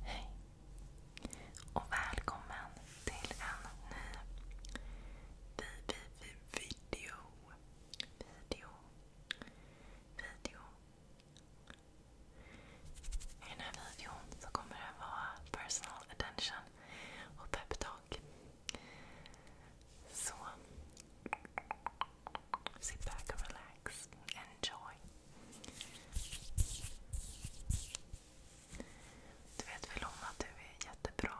Hej och välkommen till en ny video. Video. Video. I den här videon så kommer det vara personal attention innan. Och peptalk. Så. Sit back and relax. Enjoy. Du vet väl om att du är jättebra?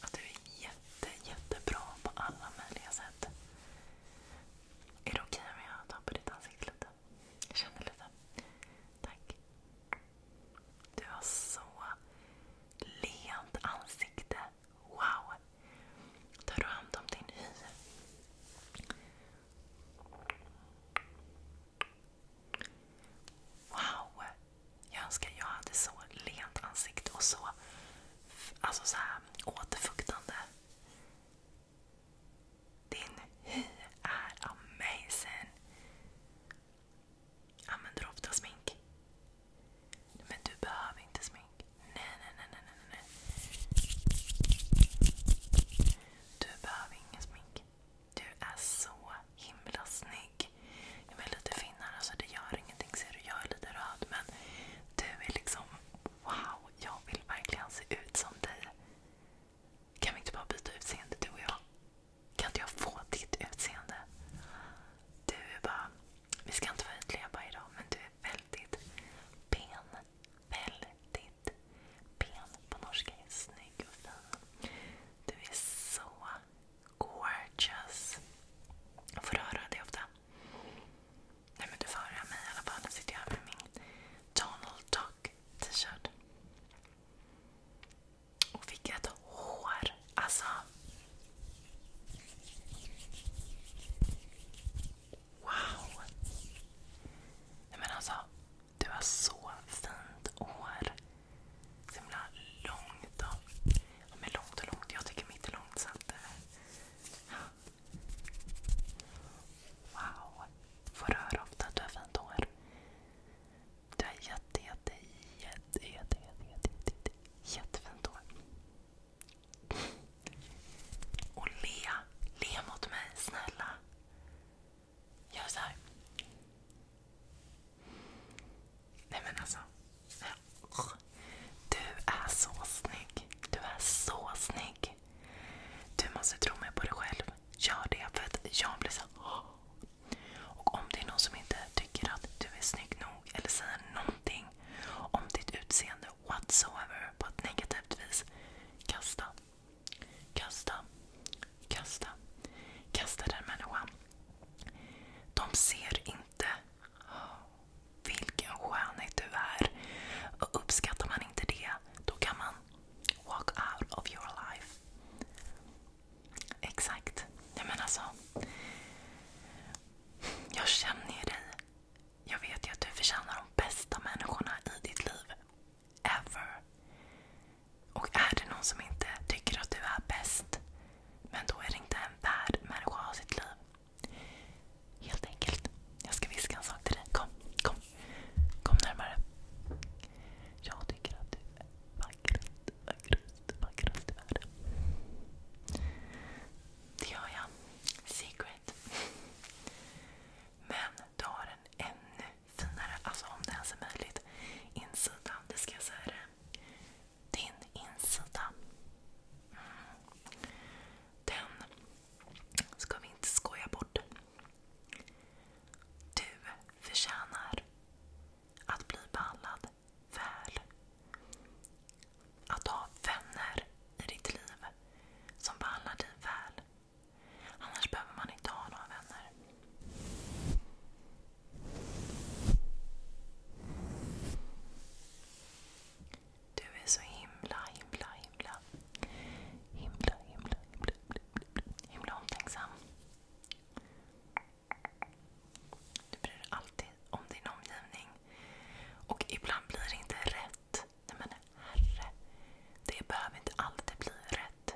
Att du är jätte, jättebra på alla möjliga sätt. Är det okej okay om jag tappar ditt ansikte? lite? Jag känner lite. Tack. Du har så lent ansikte. Wow! Tar du hand om din hy? Wow! Jag önskar jag hade så lent ansikte och så, alltså så här, återfuktande din hy är amazing! Använder du ofta smink? Men du behöver inte smink. Nej, nej, nej, nej, nej. nej. Du behöver ingen smink. Du är så himla snygg. Jag är lite finare, alltså det gör ingenting. Ser du, jag är lite röd. Men du är liksom, wow! Jag vill verkligen se ut som dig. Kan vi inte bara byta utseende du och jag? Kan inte jag få ditt utseende? Du är bara... Vi ska inte vara ytliga bara idag, men du är väldigt ben. Väldigt ben på norska. Är snygg och fin. Du är så gorgeous. Jag får röra dig ofta. Nej men du får höra mig i alla fall. Nu sitter jag här med min Donald Duck t-shirt. Och vilket hår! Alltså... Wow! Nej men alltså, du har så fint hår. Så himla långt och... Ja, men långt och långt. Jag tycker mitt är långt så att... Eh. Wow! Får du höra ofta att du har fint hår? Du har jätte, hår. Och le. Le mot mig, snälla. Gör så Nej men alltså. Du är så snygg. Du är så snygg. Du måste tro mig på dig själv gör det. För att jag blir så Och om det är någon som inte tycker att du är snygg nog eller säger någonting om ditt utseende whatsoever på ett negativt vis. Kasta. Kasta. Kasta. Kasta den människan. De ser inte vilken skönhet du är. Och uppskattar man inte det, då kan man walk out of your life. Exakt. Jag menar så. Jag känner ju dig. Jag vet ju att du förtjänar de bästa människorna i ditt liv. Ever. Och är det någon som inte tycker att du är bäst, men då är det inte en värd människa att ha sitt liv. Helt enkelt. Jag ska viska en sak till dig. Kom, kom. Kom närmare. Jag tycker att du är vackrast, vackrast, vackrast i världen. Det gör jag. Secret. Men du har en ännu finare, alltså om det ens är möjligt, insida. Det ska jag säga det. Din insida. Mm. Den ska vi inte skoja bort. Du förtjänar att bli behandlad väl. Att ha vänner i ditt liv som behandlar dig väl. Annars behöver man inte ha några vänner. Du är så himla, himla, himla, himla, himla, himla, Himla omtänksam. Du bryr dig alltid om din omgivning. Och ibland blir det inte rätt. Nej men herre. Det behöver inte alltid bli rätt.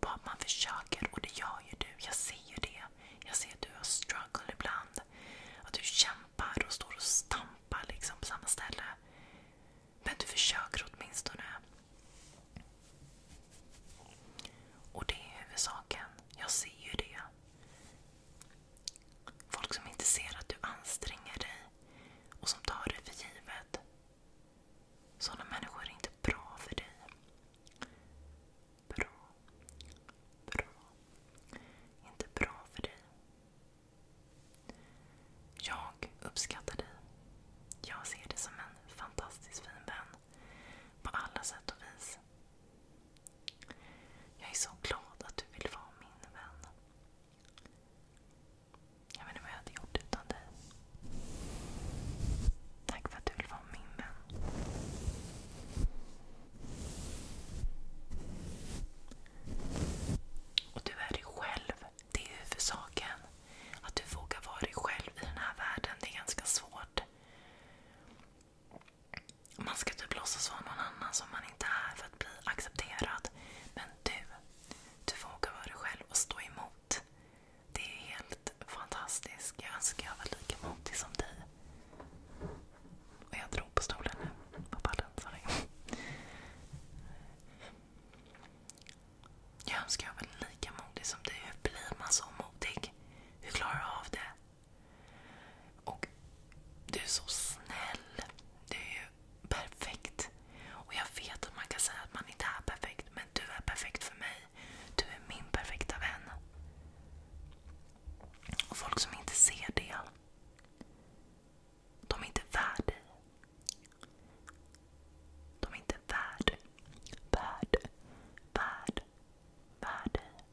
Bara man försöker. Och det gör ju du. Jag ser ju det. Jag ser att du har struggle ibland. Att du kämpar och står och stampar liksom på samma ställe. Men du försöker åtminstone. Och det är huvudsaken. Jag ser ju det. Folk som inte ser att du anstränger dig och som tar det för givet. Sådana människor är inte bra för dig. Bra. Bra. Inte bra för dig. Jag uppskattar dig. Jag ser dig som en fantastiskt fin vän på alla sätt och vis. Jag är så glad att du vill vara min vän. Jag vet inte vad jag hade gjort utan dig. Tack för att du vill vara min vän. Och du är dig själv. Det är huvudsaken. Att du vågar vara dig själv i den här världen. Det är ganska svårt. Man ska typ låtsas vara någon annan som man inte är för att bli accepterad. Men du, du vågar vara dig själv och stå emot. Det är helt fantastiskt. Jag önskar jag var lika modig som dig. Och jag drog på stolen nu. På pallen, sorry. Jag önskar jag var lika modig som du. Hur blir man så modig? Hur klarar du av det? Och du är så snäll. Du är ju perfekt. Och jag vet att man kan säga att man inte är perfekt, men du är perfekt för mig. Du är min perfekta vän. Och folk som inte ser det, de är inte värda dig. De är inte värd, värd, värd, värd dig.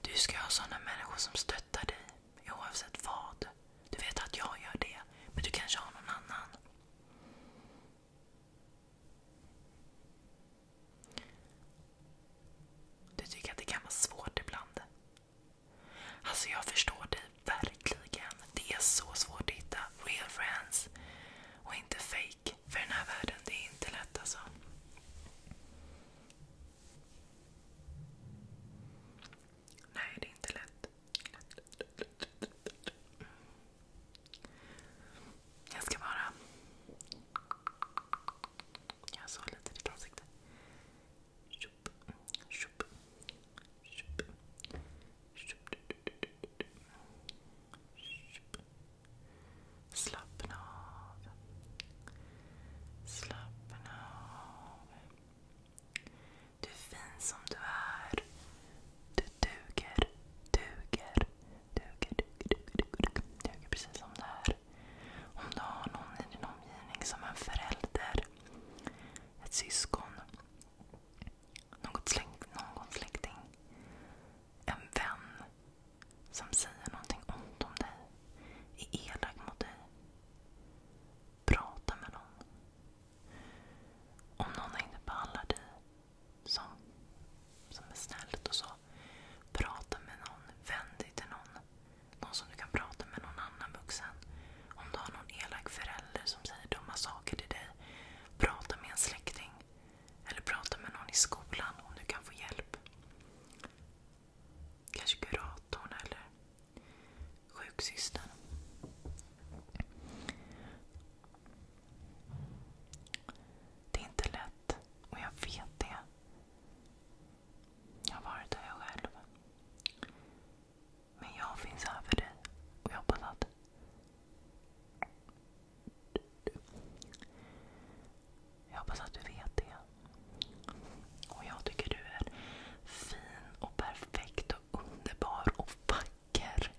Du ska ha sådana människor som stöttar dig oavsett vad. Du vet att jag gör det, men du kanske har någon annan. Du tycker att det kan vara svårt ibland? Alltså jag förstår dig verkligen. Det är så svårt att hitta real friends och inte fake. För den här världen, det är inte lätt alltså. Nej, det är inte lätt. Jag ska bara... Jag så lite i ditt ansikte. Tjup, tjup, tjup, tjup, tjup. Slappna av. Slappna av. Du är fin som du är. Du duger, duger, Duger, duger, duger, duger, duger precis som det här. Om du har någon i din omgivning som en förälder, ett syskon, något släkting, en vän som säger någonting ont om dig, är elak mot dig. Prata med någon. Om någon inte behandlar dig som, som är snällt och så. Prata med någon. Vänd dig till någon. Någon som du kan prata med, någon annan vuxen. Om du har någon elak förälder som säger dumma saker till dig. Prata med en släkting. Eller prata med någon i skolan om du kan få hjälp. Kanske kuratorn eller sjuksystern. Det är inte lätt och jag vet det. Jag har varit där själv. Men jag finns här för dig och jag hoppas att jag hoppas att du vet det. Och jag tycker du är fin och perfekt och underbar och vacker.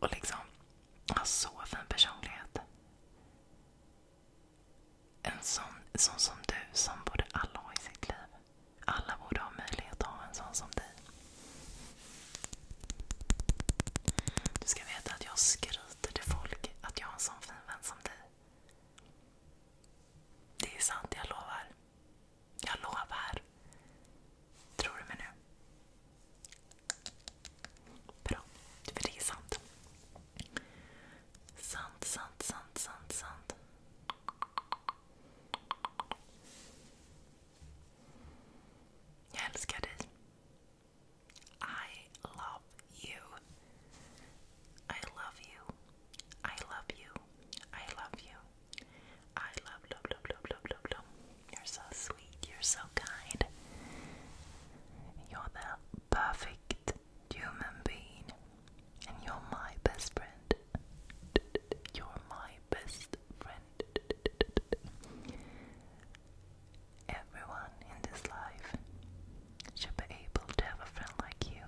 Och liksom har så fin personlighet. En sån, sån som du, som borde alla ha i sitt liv. Alla borde ha möjlighet att ha en sån som dig. Du ska veta att jag skryter till folk att jag har en sån fin vän som dig. Det är sant, jag lovar. Jag lovar. Tror du mig nu? Bra, för det är sant. Sant, sant, sant, sant, sant. Jag älskar dig. I love you. I love you. I love you. I love you. I love, love, love, love, love, love. You're so sweet. You're so kind. You're the perfect human being. And you're my best friend. You're my best friend. Everyone in this life should be able to have a friend like you.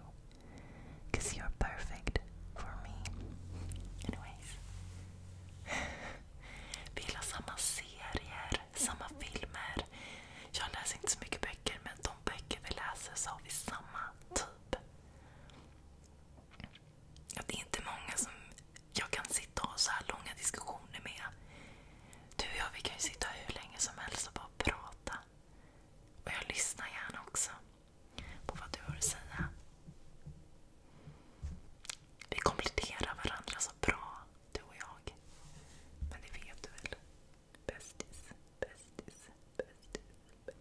you're perfect for me. Anyways. Vi gillar samma serier, samma filmer. Jag läser inte så mycket böcker, men de böcker vi läser så har vi samma typ. Det är inte många som jag kan sitta och ha så här långa diskussioner med. Du och jag vi kan ju sitta hur länge som helst och bara prata. Och jag lyssnar gärna också på vad du har att säga. Vi kompletterar varandra så bra. du och jag. Men det vet du väl? Bästis, bästis, bästis, bästis, bästis.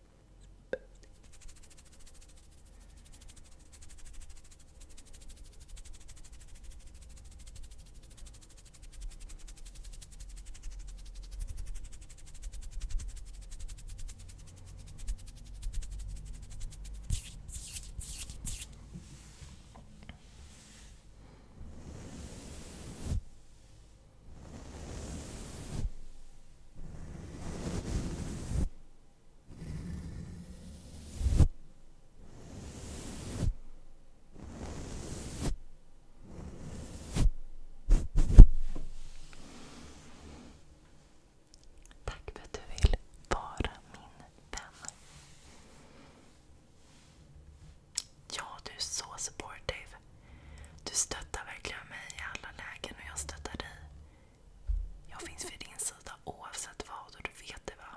Tack för att du vill vara min vän. Ja, du är så supportive. Du stöttar verkligen mig i alla lägen och jag stöttar dig. Jag finns vid din sida oavsett vad och du vet det va?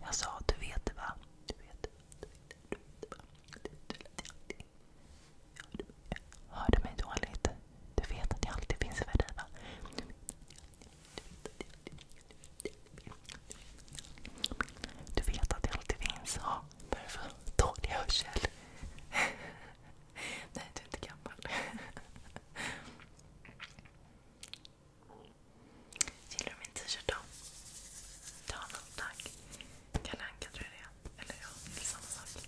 Jag sa du vet det va? Du vet det, du vet det, du vet det, va? Hörde mig dåligt? Du vet att jag alltid finns för dig va? Du vet, du vet, du vet, du vet att det alltid finns. Ja, för Dålig hörsel. Nej, du är inte gammal. Gillar du min t-shirt då? Ta någon, tack. Kalle Anka tror jag det är. Eller ja, det är samma sak.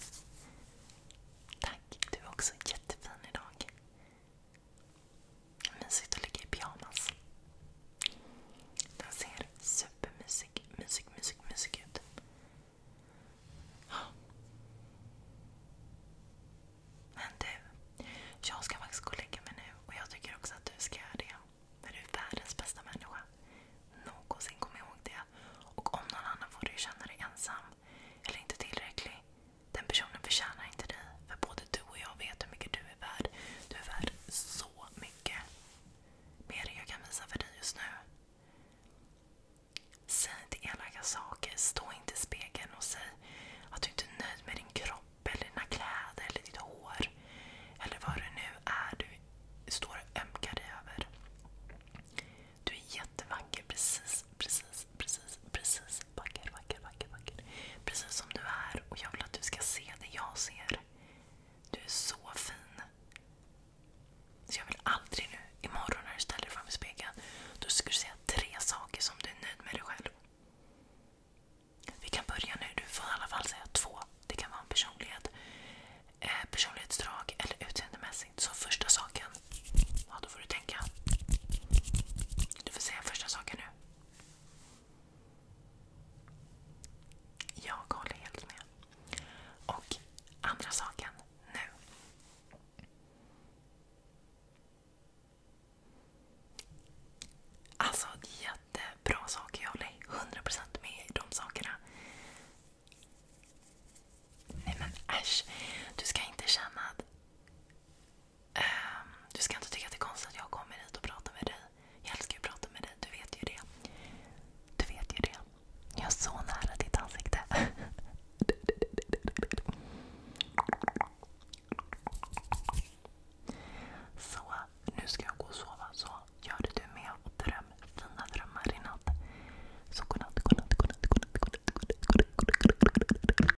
Tack, du är också jättefin idag. Mysigt att ligga i pyjamas. Den ser supermysig mysig, mysig, mysig ut. Men du, jag ska faktiskt gå och lägga mig nu jag tycker också att du ska göra det. du är världens bästa människa. kom ihåg det. om någon annan får du känna dig ensam eller inte tillräcklig, den personen förtjänar inte dig. För både du och jag vet hur mycket du är värd. Du är värd så mycket. Mer än jag kan visa för dig just nu. Säg inte elaka saker. Stå inte i spegeln och säg att du inte är nöjd med din kropp, eller dina kläder eller ditt hår. Eller vad det nu är du står och ömkar dig över. Du är jättevacker precis, precis, precis, precis Vacker, vacker, vacker, Precis som du är. jag vill att du ska se det jag ser. Du är så fin. jag vill aldrig nu, imorgon när du ställer dig framför spegeln, ska du säga tre saker som du är nöjd med dig själv. Vi kan börja nu. Du får i alla fall säga två. Det kan vara personlighet, eh, personlighetsdrag eller utseendemässigt. Så första saken, ja, då får du tänka. Du får säga första saken nu. Jag håller helt med. Och andra saken nu. Alltså jättebra saker. Jag håller 100% med i de sakerna. Nej men äsch. Du ska inte känna att du ska inte tycka att det är konstigt att jag kommer hit och pratar med dig. Jag älskar att prata med dig, du vet ju det. Du vet ju det. Jag är så nära ditt ansikte. Så, nu ska jag gå och sova. Så gör det du med dröm fina drömmar i natt. Så godnatt, godnatt, godnatt, godnatt, godnatt, godnatt, godnatt, godnatt, godnatt, godnatt.